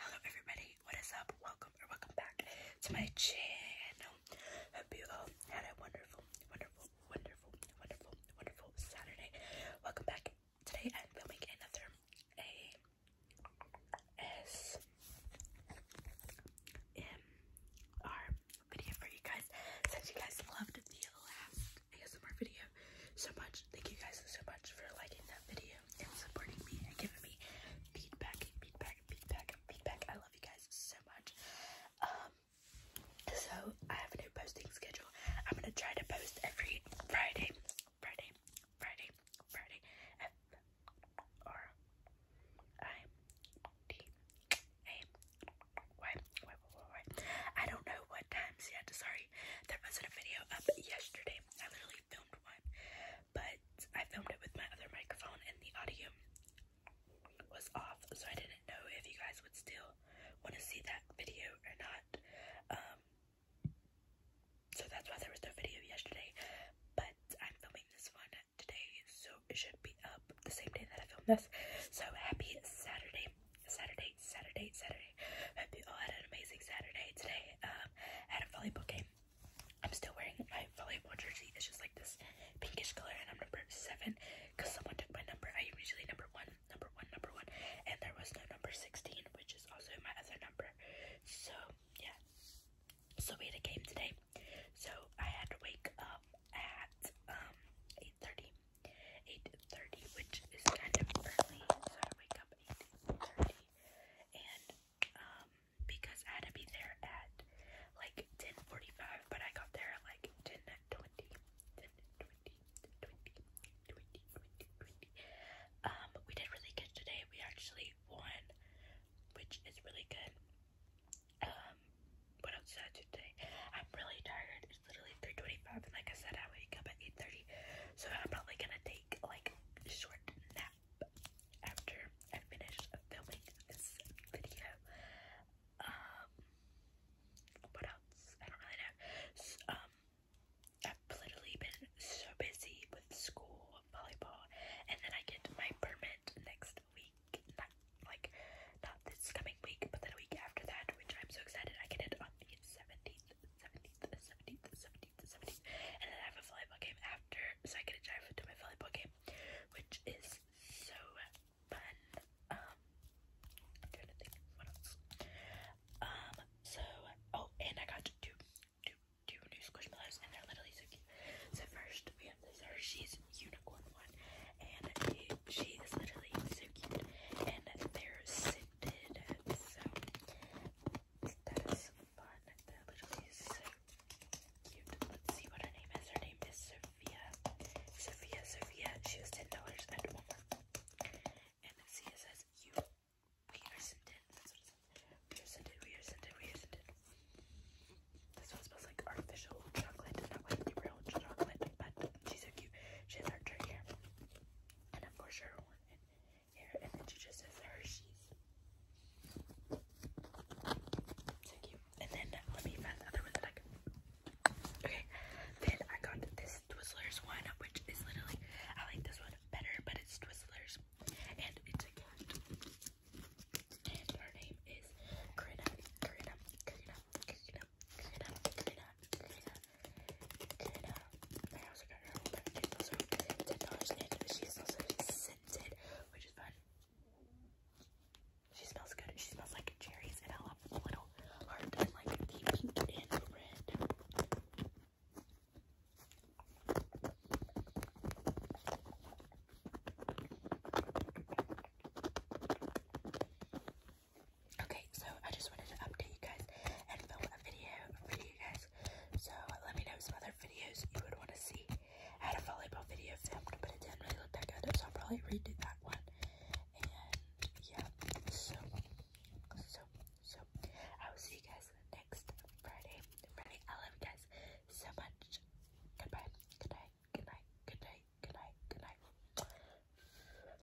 Hello everybody, what is up? Welcome or welcome back to my channel. Hope you all had a wonderful, wonderful, wonderful, wonderful, wonderful Saturday. Welcome back. Today I'm filming another ASMR video for you guys. Since you guys loved the last ASMR video so much, thank you guys so much for liking that video you and supporting me and giving me feedback, feedback, feedback, feedback. I love you guys so much. Um, so I have a new posting schedule. I'm gonna try to post every Friday, Friday, Friday, Friday. F R I D A Y Y Y Y. I don't know what times yet. Sorry, there wasn't a video up yesterday. I literally but I filmed it with my other microphone and the audio was off, so I didn't know if you guys would still want to see that video or not. Um, so that's why there was no video yesterday, but I'm filming this one today, so it should be up the same day that I filmed this. So happy Saturday, Saturday, Saturday, Saturday, oh, I Hope you all had an amazing Saturday today. Um, I had a volleyball game. I'm still wearing my volleyball jersey. It's just like this pinkish color, and I'm number seven because someone took my number. I usually number one, number one, number one, and there was no number 16, which is also my other number. So yeah. So we had a game today. So I had to wake up at um 8:30, 8:30, which is kind of early. So I wake up and um, because I had to be there at like 10:45, but I got there like 10:20, Um, we did really good today. We actually won, which is really good. Um, what else today? I'm really tired. It's literally 3:25, and like I said, I wake up at 8:30, so I'm probably gonna take like short nap after I finish filming this video. Um, what else? I don't really know. um, I've literally been so busy with school, volleyball, and then I get my permit next week. Not like not this coming week, but then a week after that, which I'm so excited. I can hit on the seventeenth, seventeenth, seventeenth, seventeenth, seventeenth, and then I have a volleyball game after, so I get to drive to my volleyball game, which is so fun. Um, trying to think what else. Um, so oh, and I got two, two, two new squishmallows, and they're literally so cute. So first we have this Hershey's unicorn one, and she is literally so cute, and they're did So that is fun. That literally is so cute. Let's see what her name is. Her name is Sophia. Sophia, Sophia. She was ten dollars and more. And let says you. We are scented. We are scented. We are scented. We are scented. This one smells like artificial chocolate, not like real chocolate. But she's so cute. She has her hair, and of course her one and then you just have Hershey's. the Okay, then I got this Twizzlers one, which is literally I like this one better, but it's Twizzlers, and it's a cat. And her name is Karina, Karina, Karina, Karina, Clean up, clean up, clean up, clean up. I also got her whole package. Also, ten dollars in. She's also scented, which is fun. She smells good. She smells like cherries, and I love the little heart like the pink and red. Okay, so I just wanted to update you guys and film a video for you guys. So let me know some other videos you would want to see. I had a volleyball video filmed, but it didn't really look that good, so I'll probably redo that one. And yeah, so, so, so, I will see you guys next Friday. Friday, I love you guys so much. Goodbye, good night, good night, good night, good night, good night.